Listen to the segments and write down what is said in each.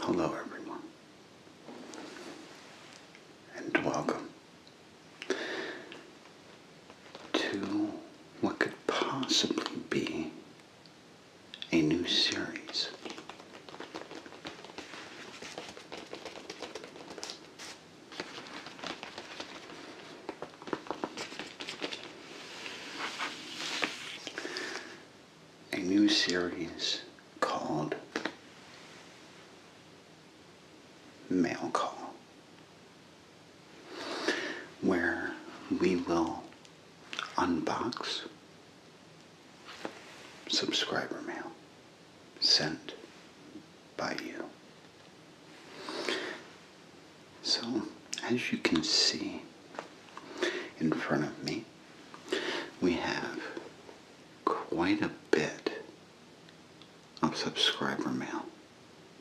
Hello, everyone, and welcome to what could possibly be a new series a new series called Mail Call, where we will unbox subscriber mail sent by you. So, as you can see in front of me, we have quite a bit of subscriber mail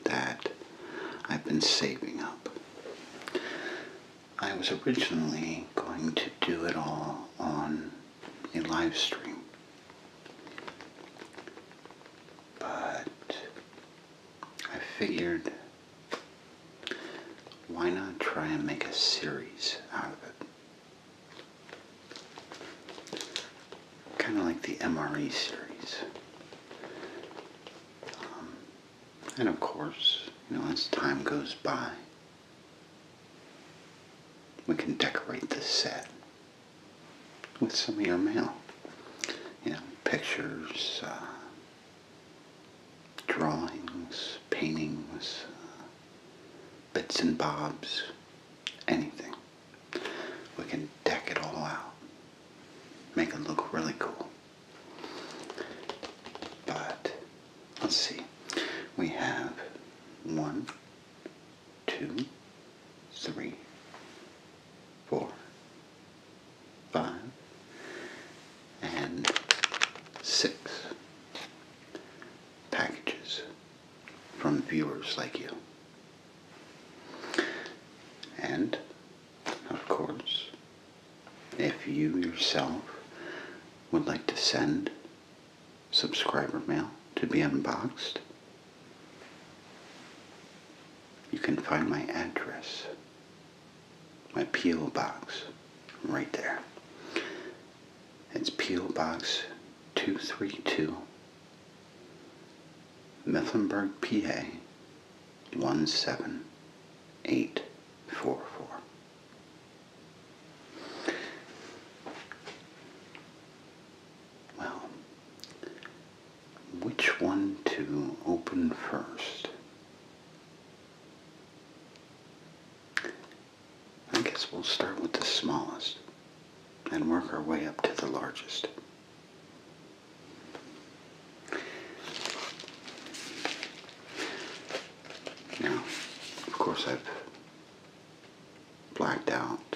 that I've been saving up. I was originally going to do it all on a live stream, but I figured why not try and make a series out of it? Kind of like the MRE series. Um, and of course, you know, as time goes by, we can decorate the set with some of your mail. You know, pictures, uh, drawings, paintings, uh, bits and bobs, anything. We can deck it all out, make it look really cool. But let's see, we have one, two, three, four, five, and six packages from viewers like you. And, of course, if you yourself would like to send subscriber mail to be unboxed, you can find my address my P.O. Box, right there. It's P.O. Box 232, Mecklenburg, PA 17844. Well, which one to open first? I guess we'll start with the smallest and work our way up to the largest. Now, of course, I've blacked out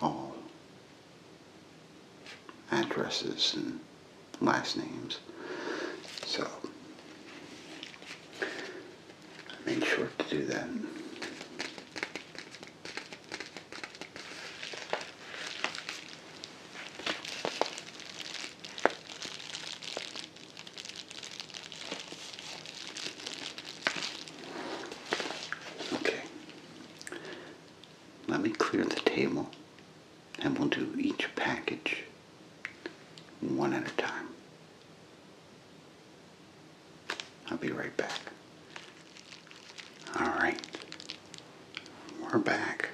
all addresses and last names. So I made sure to do that. Okay. Let me clear the table and we'll do each package one at a time. I'll be right back. Alright, we're back.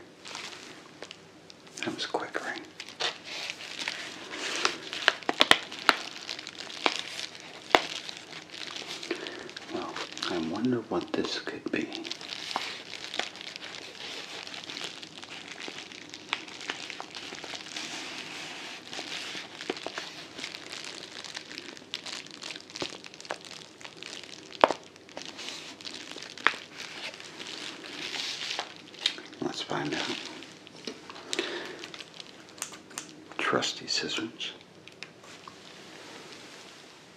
That was quick, right? Well, I wonder what this could be. Let's find out. Trusty scissors.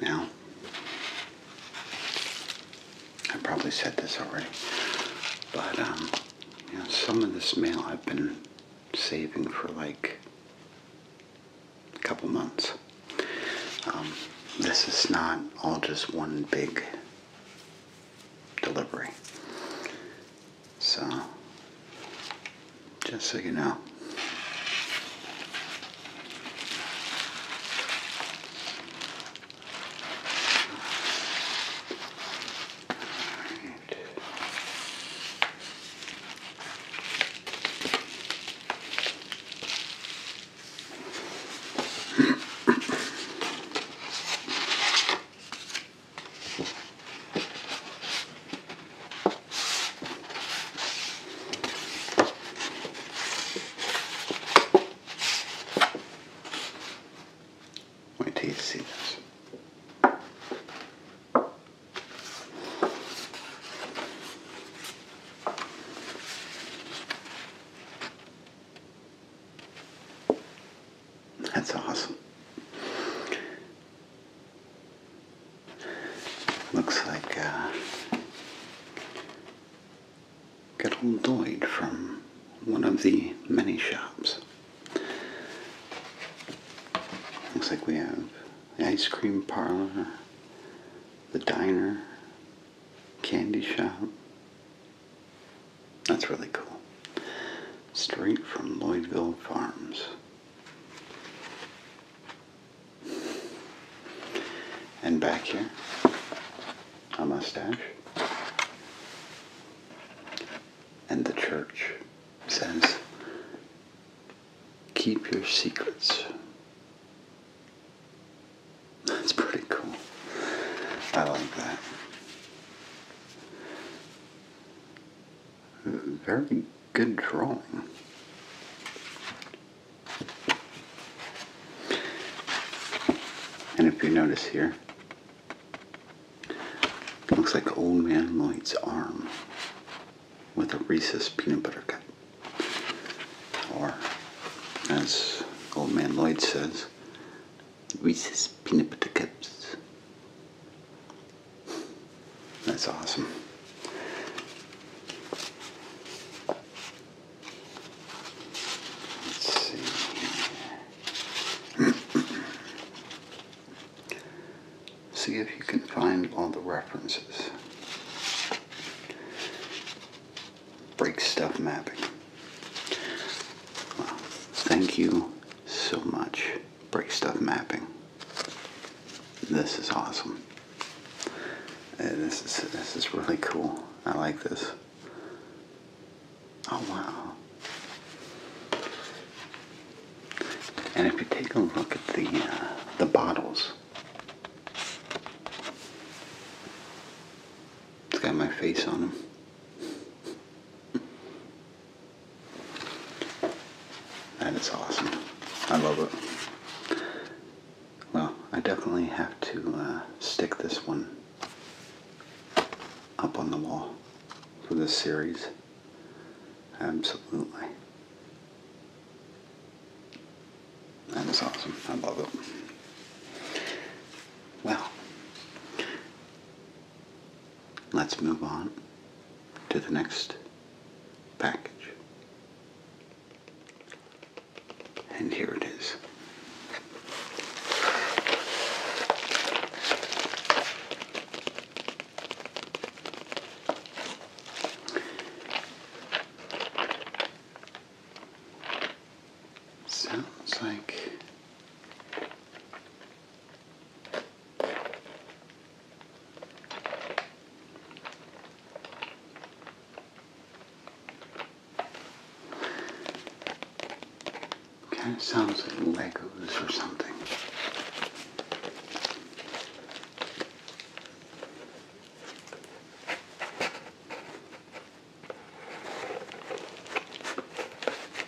Now, I probably said this already, but um, some of this mail I've been saving for like a couple months. Um, this is not all just one big delivery. So, just so you know. Wait till you see this. That's awesome. Looks like uh, good old Lloyd from one of the many shops. Looks like we have the ice cream parlor, the diner, candy shop, that's really cool. Straight from Lloydville Farms. And back here, a mustache. And the church says, keep your secrets. That's pretty cool. I like that. Very good drawing. And if you notice here, looks like Old Man Lloyd's arm with a Reese's peanut butter cup. Or, as Old Man Lloyd says, Reese's peanut butter cups. That's awesome. Let's see. see if you can find all the references. Break stuff mapping thank you so much, Break Stuff Mapping. This is awesome. Uh, this is, this is really cool. I like this. Oh, wow. And if you take a look at the uh, the bottles, it's got my face on them. That is awesome. I love it. Well, I definitely have to uh, stick this one up on the wall for this series. Absolutely. That is awesome. I love it. Well, Let's move on to the next package. And here it is. Sounds like Kind of sounds like Legos or something.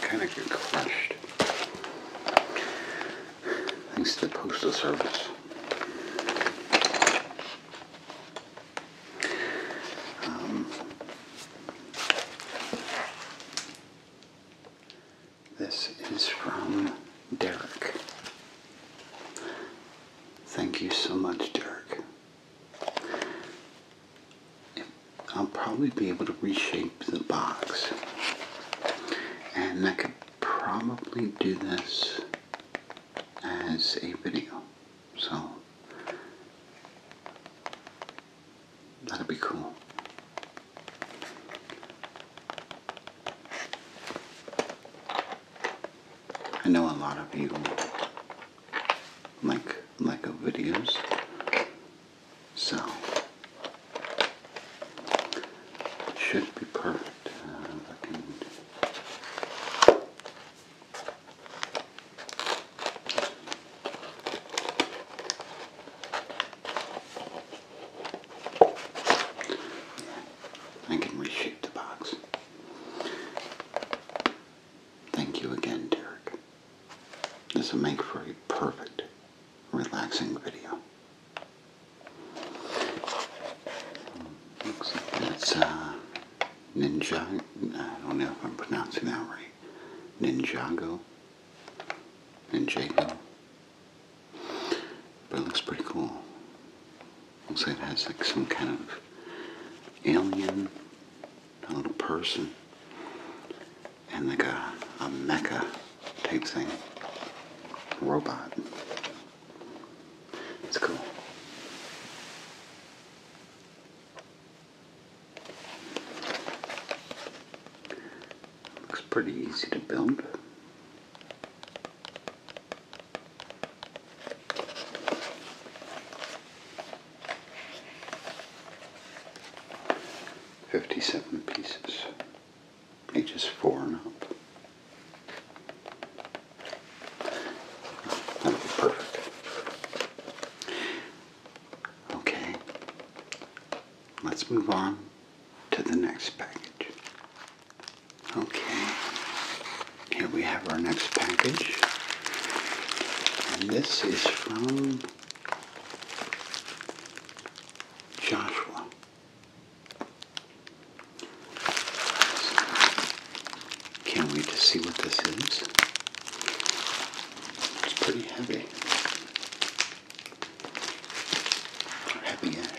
kind of get crushed. Thanks to the Postal Service. Um, this is from Derek. Thank you so much, Derek. I'll probably be able to reshape the box and that could probably do this as a video. So that'd be cool. I know a lot of you like Lego videos, so should be perfect. Uh, I can I can reshape the box. Thank you again, Derek. This will make for a perfect, relaxing video. Looks like it's a uh, ninja. I don't know if I'm pronouncing that right. Ninjago. Ninjago. But it looks pretty cool. Looks like it has like some kind of alien, a little person, and like a, a mecha tape thing. Robot. It's cool. Looks pretty easy to build. Fifty-seven pieces ages four and up. That'll be perfect. Okay, let's move on to the next package. Okay, here we have our next package. And this is from Joshua. Can't wait to see what this is. It's pretty heavy. Heavy ash.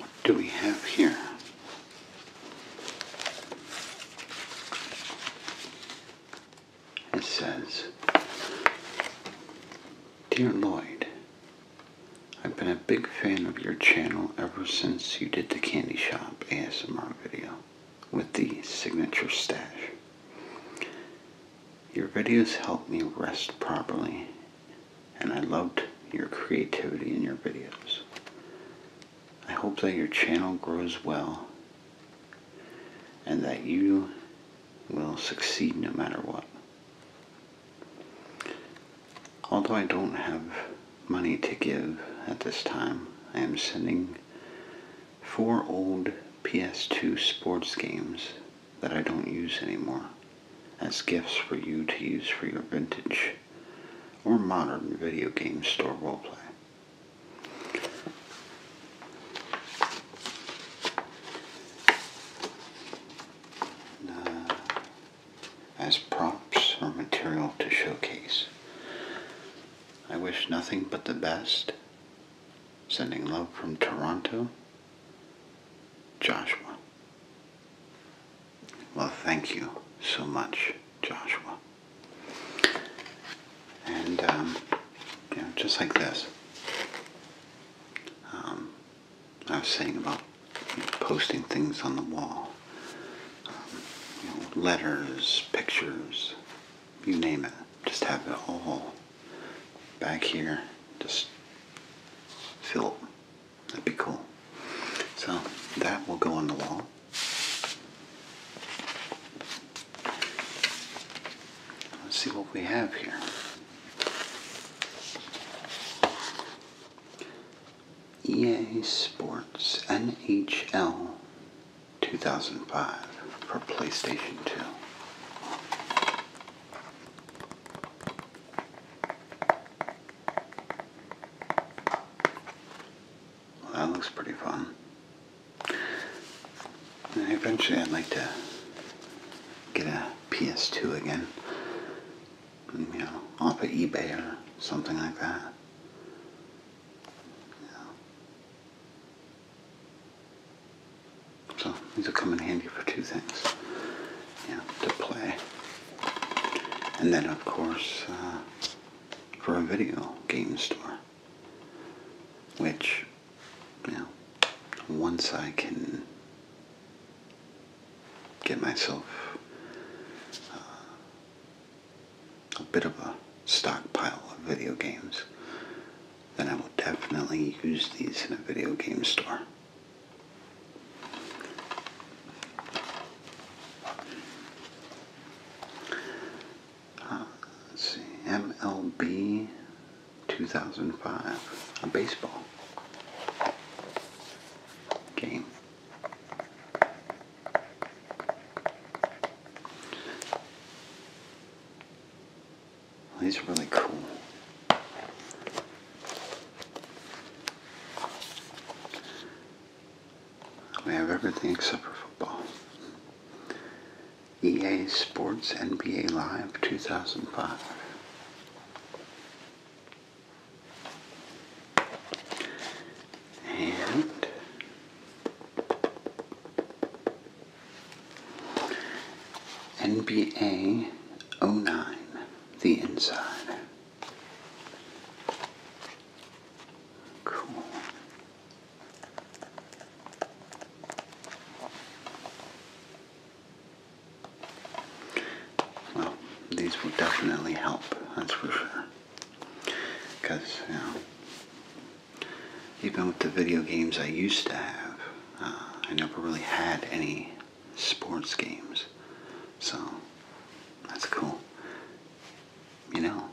What do we have here? It says, Dear Lloyd, I've been a big fan of your channel ever since you did the candy shop ASMR video with the signature stash. Your videos help me rest properly, and I loved your creativity in your videos. I hope that your channel grows well and that you will succeed no matter what. Although I don't have money to give at this time, I am sending four old PS2 sports games that I don't use anymore as gifts for you to use for your vintage or modern video game store roleplay. Uh, as props or material to showcase. I wish nothing but the best. Sending love from Toronto, Joshua. Well, thank you so much, Joshua and um, just like this. Um, I was saying about posting things on the wall, um, letters, pictures, you name it. Just have it all back here. Just fill it. That'd be cool. So that will go on the wall. Let's see what we have here. EA Sports NHL 2005 for PlayStation 2. that looks pretty fun eventually I'd like to get a PS2 again, you know, off of eBay or something like that. So these will come in handy for two things, yeah, to play. And then of course, uh, for a video game store, which now, once I can get myself uh, a bit of a stockpile of video games, then I will definitely use these in a video game store. Uh, let's see, MLB 2005, a baseball game. These are really cool. We have everything except for football. EA Sports NBA Live 2005. And NBA 09, the inside. Cool. Well, these will definitely help, that's for sure. Because, you know, even with the video games I used to have, uh, I never really had any sports games. So, that's cool. You know,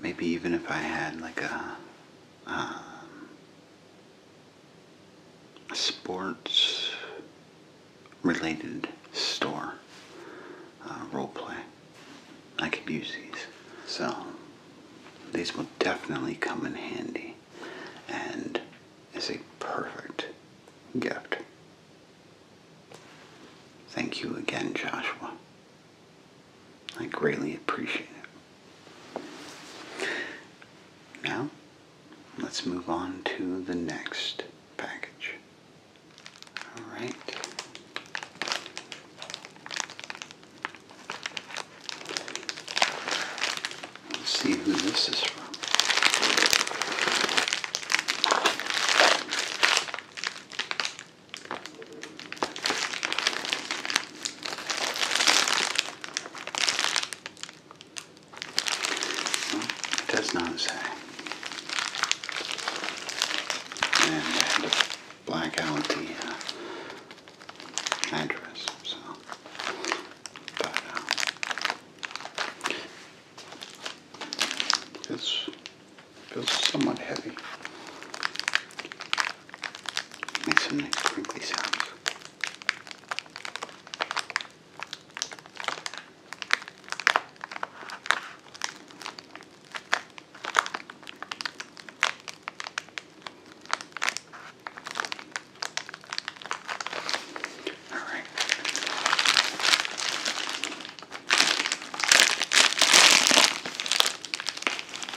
maybe even if I had like a um, sports related store uh, role play. I could use these. So these will definitely come in handy and it's a perfect gift. Thank you again, Joshua. I greatly appreciate it. Now, let's move on to the next package. Alright. Let's see who this is from. It does not say. And black out the uh, address, so. But, uh, feels somewhat heavy. Make some nice crinkly sounds. All right.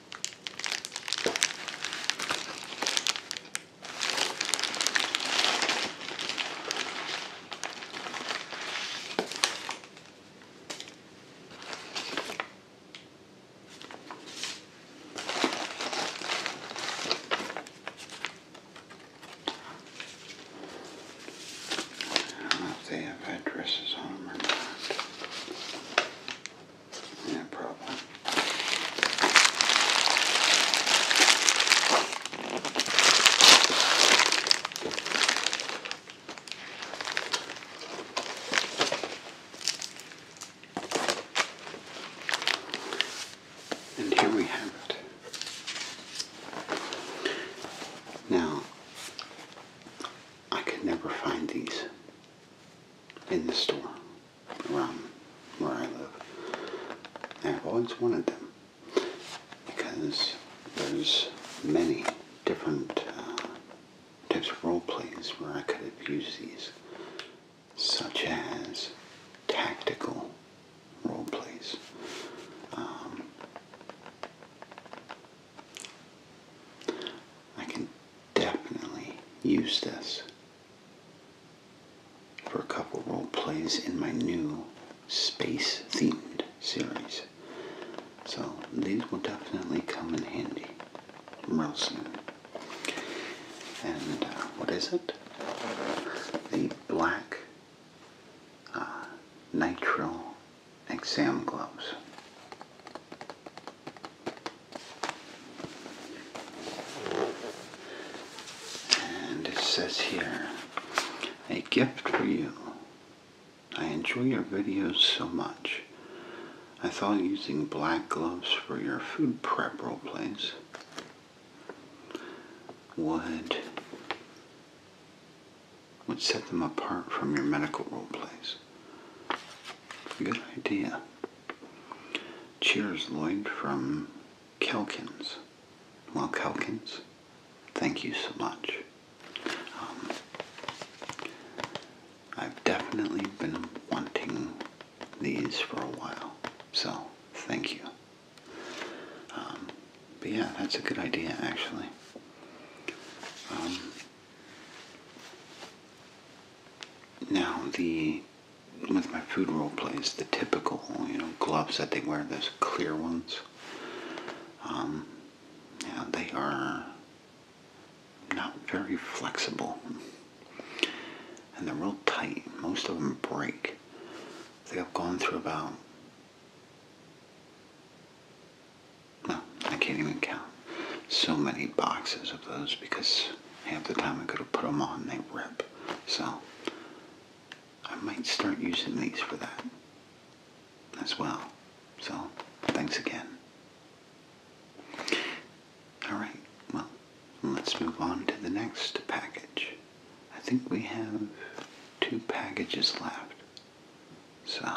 I don't know if they have addresses on them or not. No problem. And here we have it. Now, I could never find these in the store around where I live. I've always wanted them because there's many different uh, types of role plays where I could have used these, such as tactical role plays. Um, I can definitely use this for a couple role plays in my new space themed series. So these will definitely come in handy real And uh, what is it? The black uh, nitrile exam gloves. And it says here, a gift for you. I enjoy your videos so much. I thought using black gloves for your food prep role plays would would set them apart from your medical role plays. Good idea. Cheers, Lloyd from Kelkins. Well, Kelkins, thank you so much. Um, I've definitely been wanting these for a while, so thank you. Um, but yeah, that's a good idea, actually. Um, now the with my food role plays, the typical you know gloves that they wear, those clear ones. Um, yeah, they are not very flexible, and they're real tight. Most of them break. I think I've gone through about no, I can't even count so many boxes of those because half the time I could have put them on they rip. So I might start using these for that as well. So thanks again. Alright, well, let's move on to the next package. I think we have two packages left. So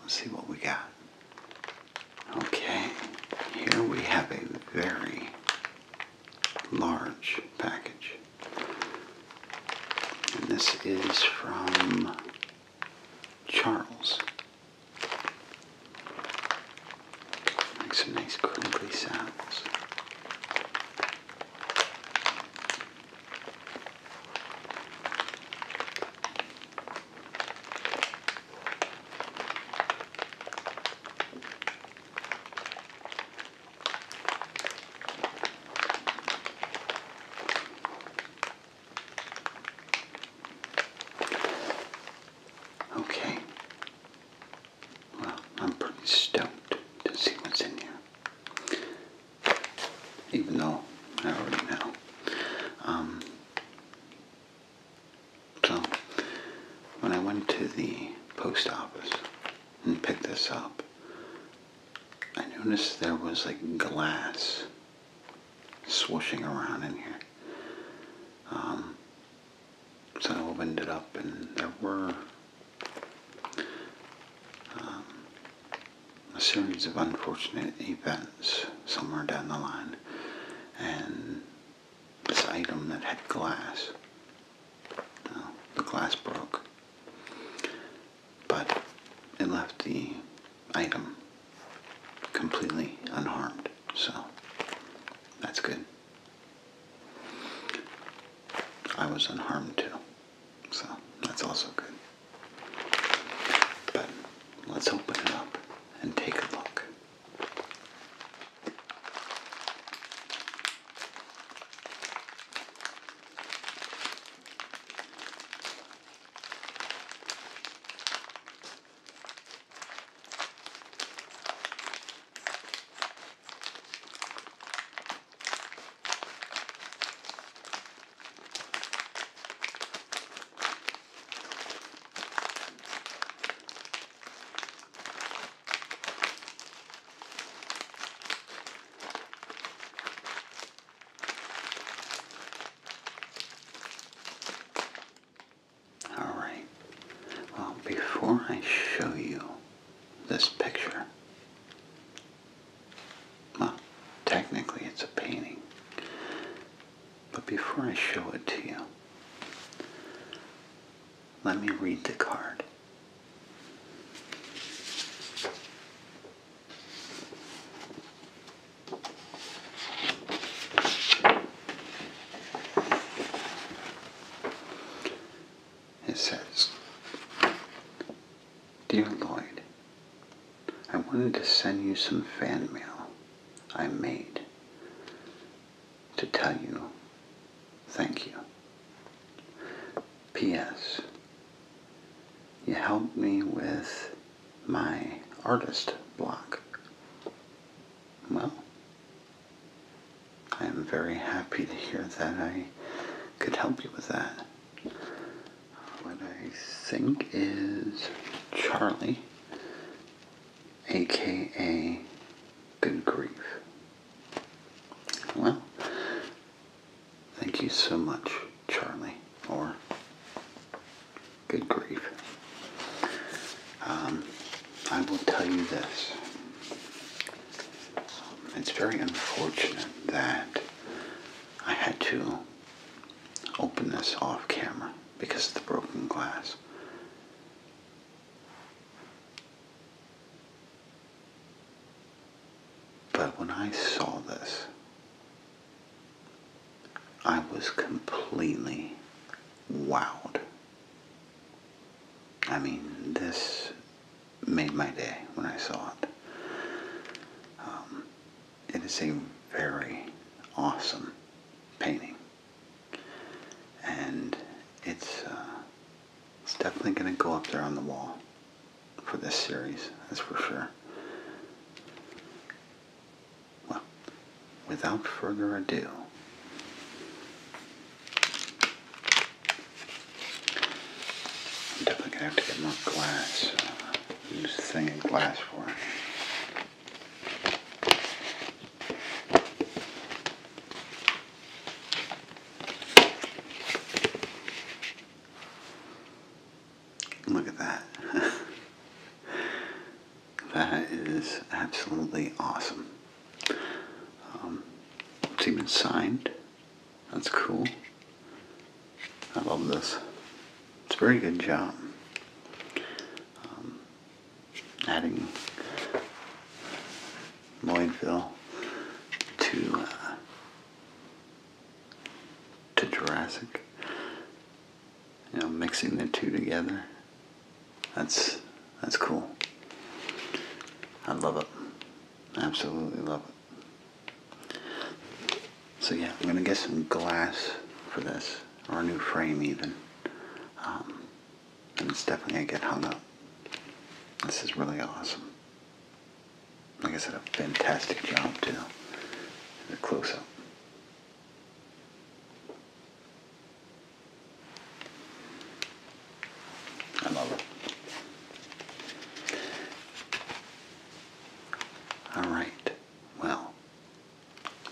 Let's see what we got. Okay, here we have a very large package. And this is from Charles. Makes some nice crinkly sounds. Okay. Well, I'm pretty stoked to see what's in here even though I already know. Um, so, when I went to the post office and picked this up, I noticed there was like glass swooshing around in here. Um, so I opened it up and there were um, a series of unfortunate events somewhere down the line. And this item that had glass, the glass broke. But it left the item completely unharmed. So that's good. I was unharmed too. So that's also good. But let's open it up and take a look. All right. Well, before I show you this picture, well, technically it's a painting. But before I show it to you, let me read the card. It says, Dear Lloyd, I wanted to send you some fan mail I made to tell you thank you. P.S. You helped me with my artist block. Well, I am very happy to hear that I could help you with that what I think is Charlie, aka Good Grief. Well, thank you so much, Charlie, or Good Grief. Um, I will tell you this. It's very unfortunate that I had to open this off camera because of the broken glass. But when I saw this, I was completely wowed. I mean, this made my day when I saw it. Um, it is a very awesome painting. And it's, uh, definitely going to go up there on the wall for this series, that's for sure. Well, without further ado, I'm definitely going to have to get more glass. Uh, Use the thing in glass for it. Look at that. that is absolutely awesome. Um, it's even signed. That's cool. I love this. It's a very good job. Um, adding Lloydville to uh, to Jurassic. You know, mixing the two together. That's that's cool. I love it. Absolutely love it. So yeah, I'm gonna get some glass for this, or a new frame even. Um, and it's definitely gonna get hung up. This is really awesome. Like I said, a fantastic job too. The close up. I love it. All right. Well,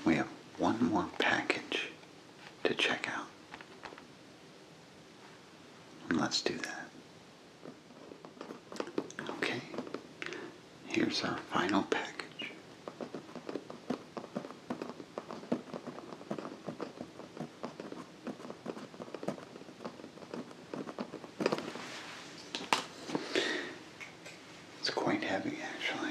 we have one more package to check out. And let's do that. Okay, here's our final package. It's quite heavy, actually.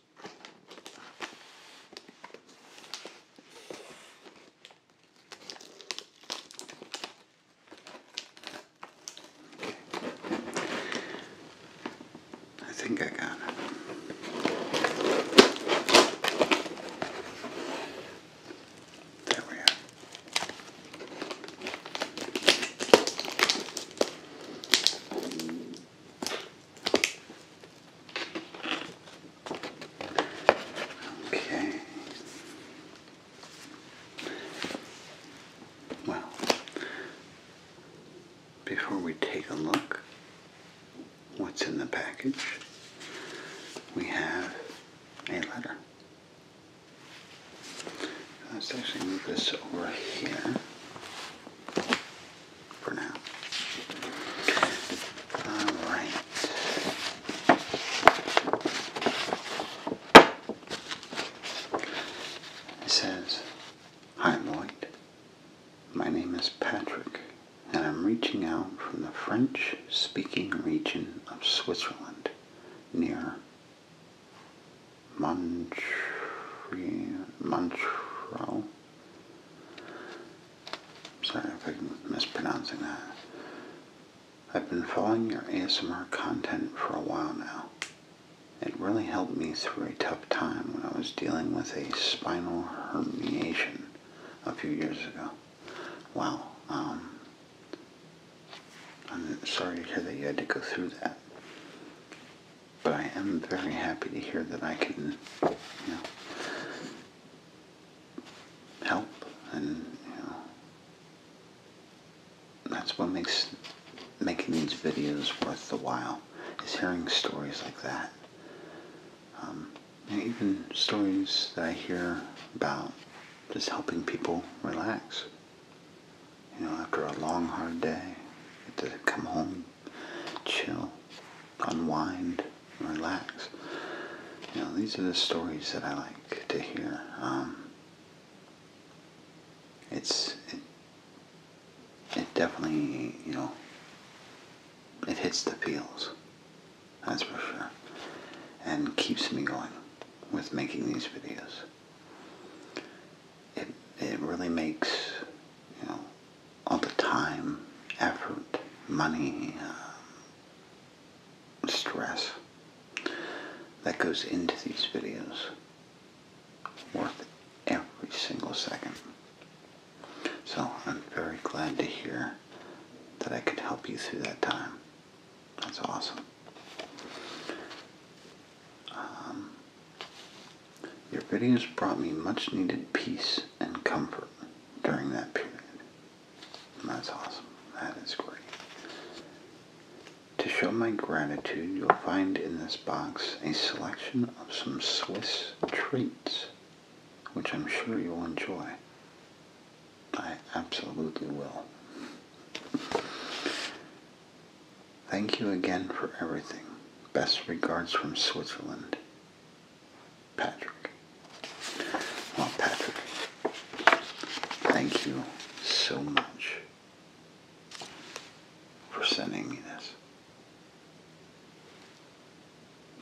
I think I got it. There we are. Okay. Well, before we take a look what's in the package, we have a letter. Let's actually move this over here for now. All right. It says, Hi Lloyd, my name is Patrick, and I'm reaching out from the French-speaking region of Switzerland, near Montreal. Montreal Sorry if I'm mispronouncing that. I've been following your ASMR content for a while now. It really helped me through a tough time when I was dealing with a spinal herniation a few years ago. Wow. Um, I'm sorry to hear that you had to go through that but I am very happy to hear that I can, you know, help and, you know, that's what makes making these videos worth the while, is hearing stories like that. Um, even stories that I hear about just helping people relax. You know, after a long, hard day, to come home, chill, unwind, relax. You know, these are the stories that I like to hear. Um, it's it, it definitely you know it hits the feels, that's for sure, and keeps me going with making these videos. It it really makes you know all the time, effort, money, um, stress that goes into these videos worth every single second. So I'm very glad to hear that I could help you through that time. That's awesome. Um, your videos brought me much needed peace and comfort during that period. that's awesome. That is great. To show my gratitude, you'll find in this box a selection of some Swiss treats, which I'm sure you'll enjoy. I absolutely will. Thank you again for everything. Best regards from Switzerland. Patrick. Well, Patrick, thank you so much for sending me this.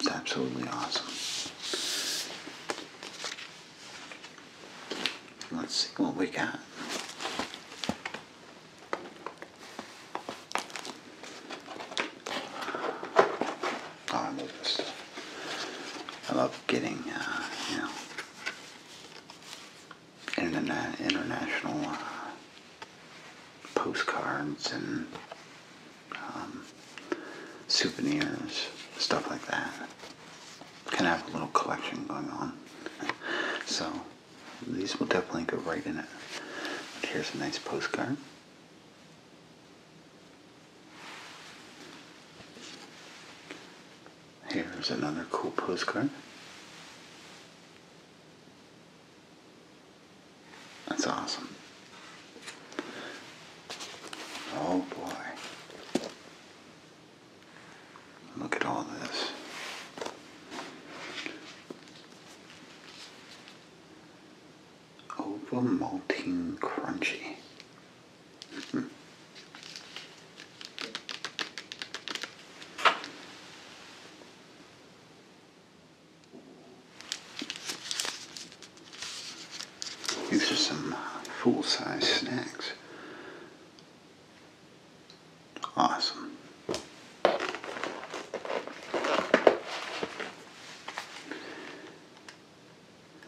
It's absolutely awesome. Let's see what we got. Oh, I love getting, uh, you know, international uh, postcards and um, souvenirs, stuff like that. Kind of have a little collection going on. so these will definitely go right in it. here's a nice postcard. Here's another cool postcard. That's awesome. Oh boy. Look at all this over malting crunchy. Hmm. These are some full-size snacks. Awesome.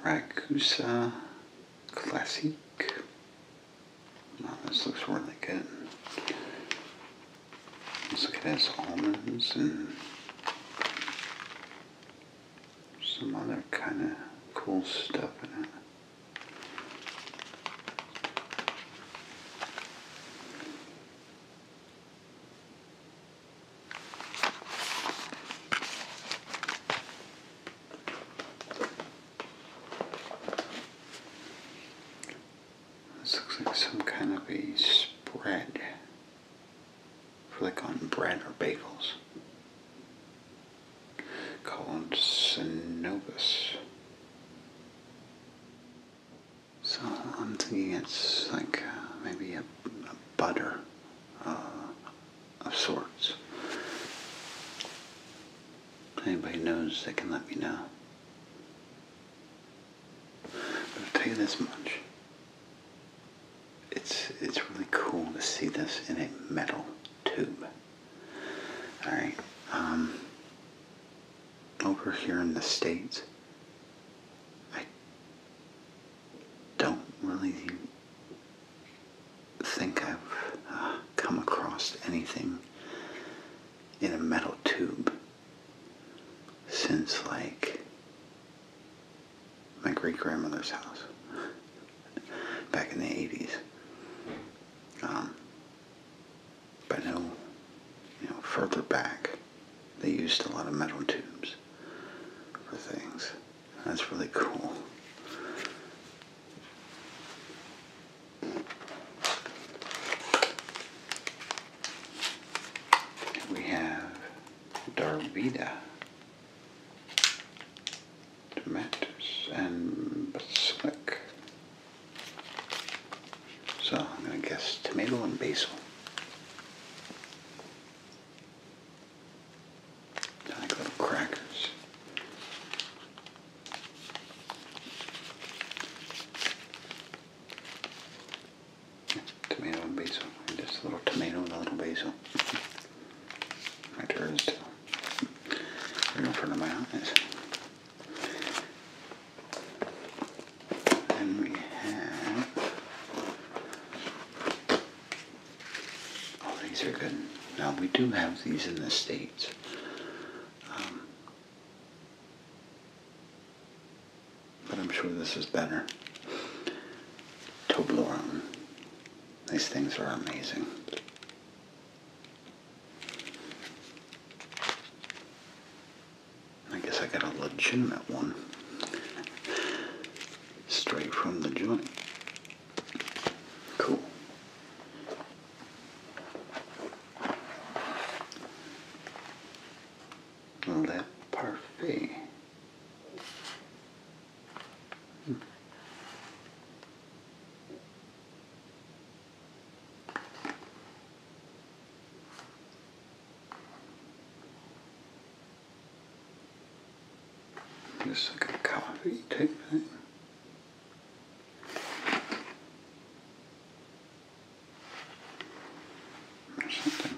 Rakusa Classic. this looks really good. Looks like it has almonds and some other kind of cool stuff in it. This looks like some kind of a spread like on bread or bagels. Called Synovus. So I'm thinking it's like uh, maybe a, butter uh, of sorts. anybody knows, they can let me know. But I'll tell you this much. It's, it's really cool to see this in a metal tube. Alright, um, over here in the States, I don't really think I've uh, come across anything in a metal tube since like my great grandmother's house back in the 80s. Um, but no, you know, further back, they used a lot of metal tubes for things. That's really cool. We have Darvida, Demetis, and Basilic. So I'm going to guess tomato and basil like little crackers. Tomato and basil. Just a little tomato and a little basil. My turn is in front of my eyes. Then we have, oh, these are good. Now we do have these in the States. Um, but I'm sure this is better. Toblerone. These things are amazing. I guess I got a legitimate one. Straight from the joint. Cool. That parfait. Just like a coffee type thing. Or something.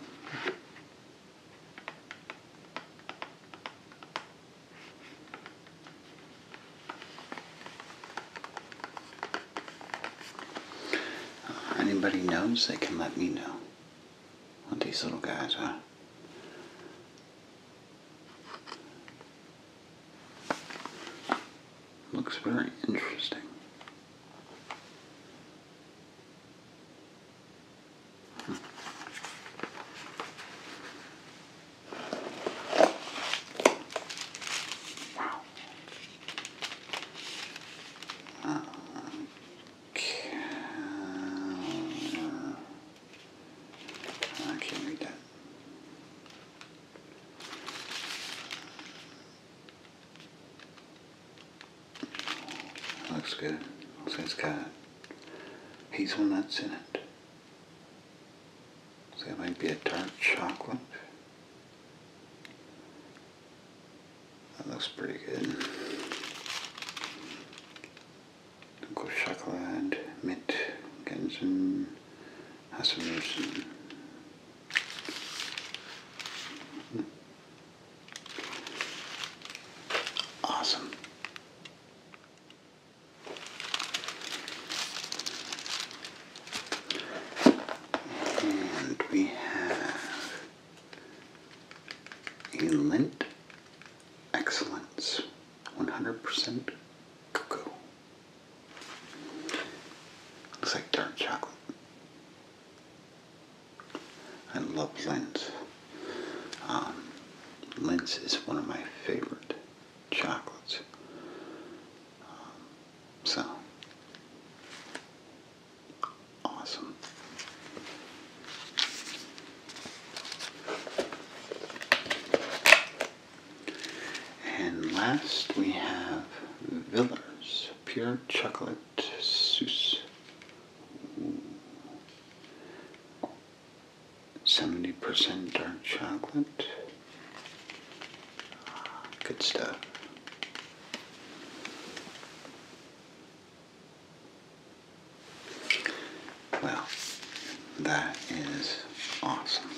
anybody knows, they can let me know. And these little guys are. Looks very interesting. Hmm. I can't read that. looks good. Looks like it's got hazel in it. So it might be a dark chocolate. That looks pretty good. Dunkel Schokolade mit Gänsen Haselnüssen. Awesome. And we have a lint Excellence 100% cocoa. Looks like dark chocolate. I love Lindt. Um, is one of my favorite chocolates. Um, so, Awesome. And last we have Villers Pure Chocolate Seuss. 70% dark chocolate. Good stuff. Well, that is awesome.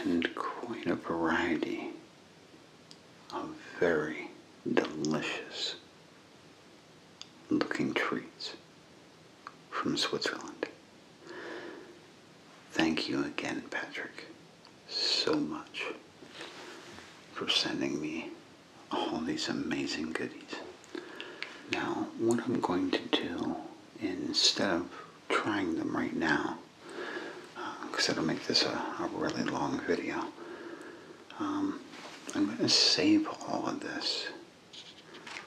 And quite a variety of very delicious looking treats from Switzerland. Thank you again, Patrick, so much for sending me all these amazing goodies. Now, what I'm going to do, instead of trying them right now, because uh, it'll make this a, really long video, um, I'm going to save all of this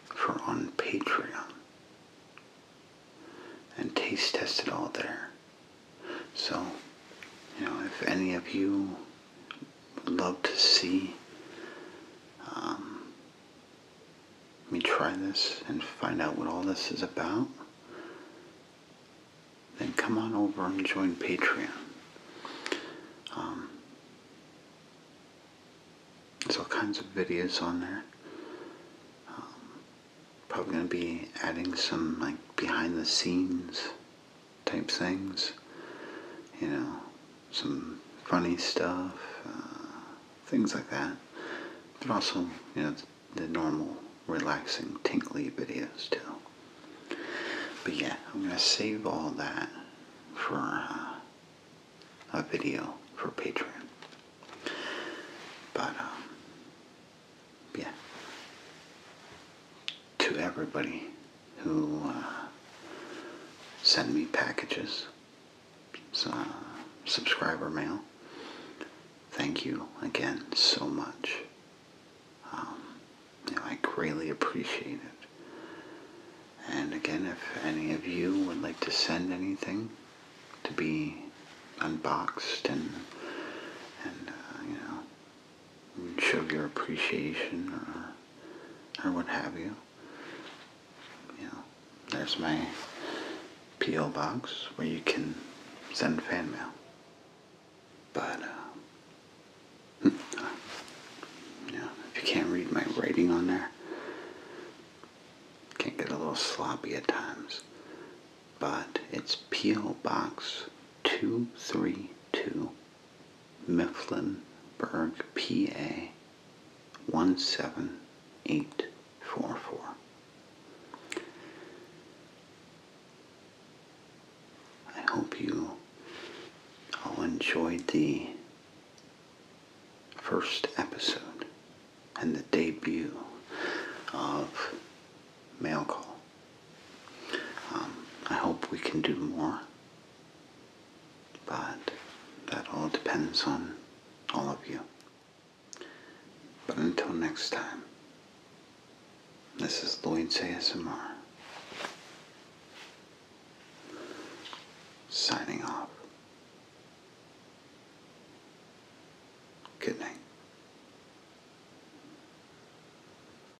for on Patreon and taste test it all there. So, you know, if any of you would love to see um, me try this and find out what all this is about, then come on over and join Patreon. Um, there's all kinds of videos on there. Um, probably going to be adding some like behind the scenes type things. You know, some funny stuff, uh, things like that. But also, you know, the, normal relaxing, tinkly videos too. But yeah, I'm going to save all that for uh, a video for Patreon. But, um, yeah. To everybody who uh, send me packages, So uh, subscriber mail. Thank you again so much. Um, I greatly appreciate it. And again, if any of you would like to send anything to be unboxed and, and uh, you know, show your appreciation or, or what have you. You know, there's my P.O. box where you can send fan mail. But, uh, you know, if you can't read my writing on there, it can get a little sloppy at times. But it's P.O. Box 232 Mifflinburg, PA 17844. I hope you all enjoyed the first episode and the debut of Mail Call. Um, I hope we can do more, but that all depends on all of you. But until next time, this is Lloyd's ASMR, signing off. Good night.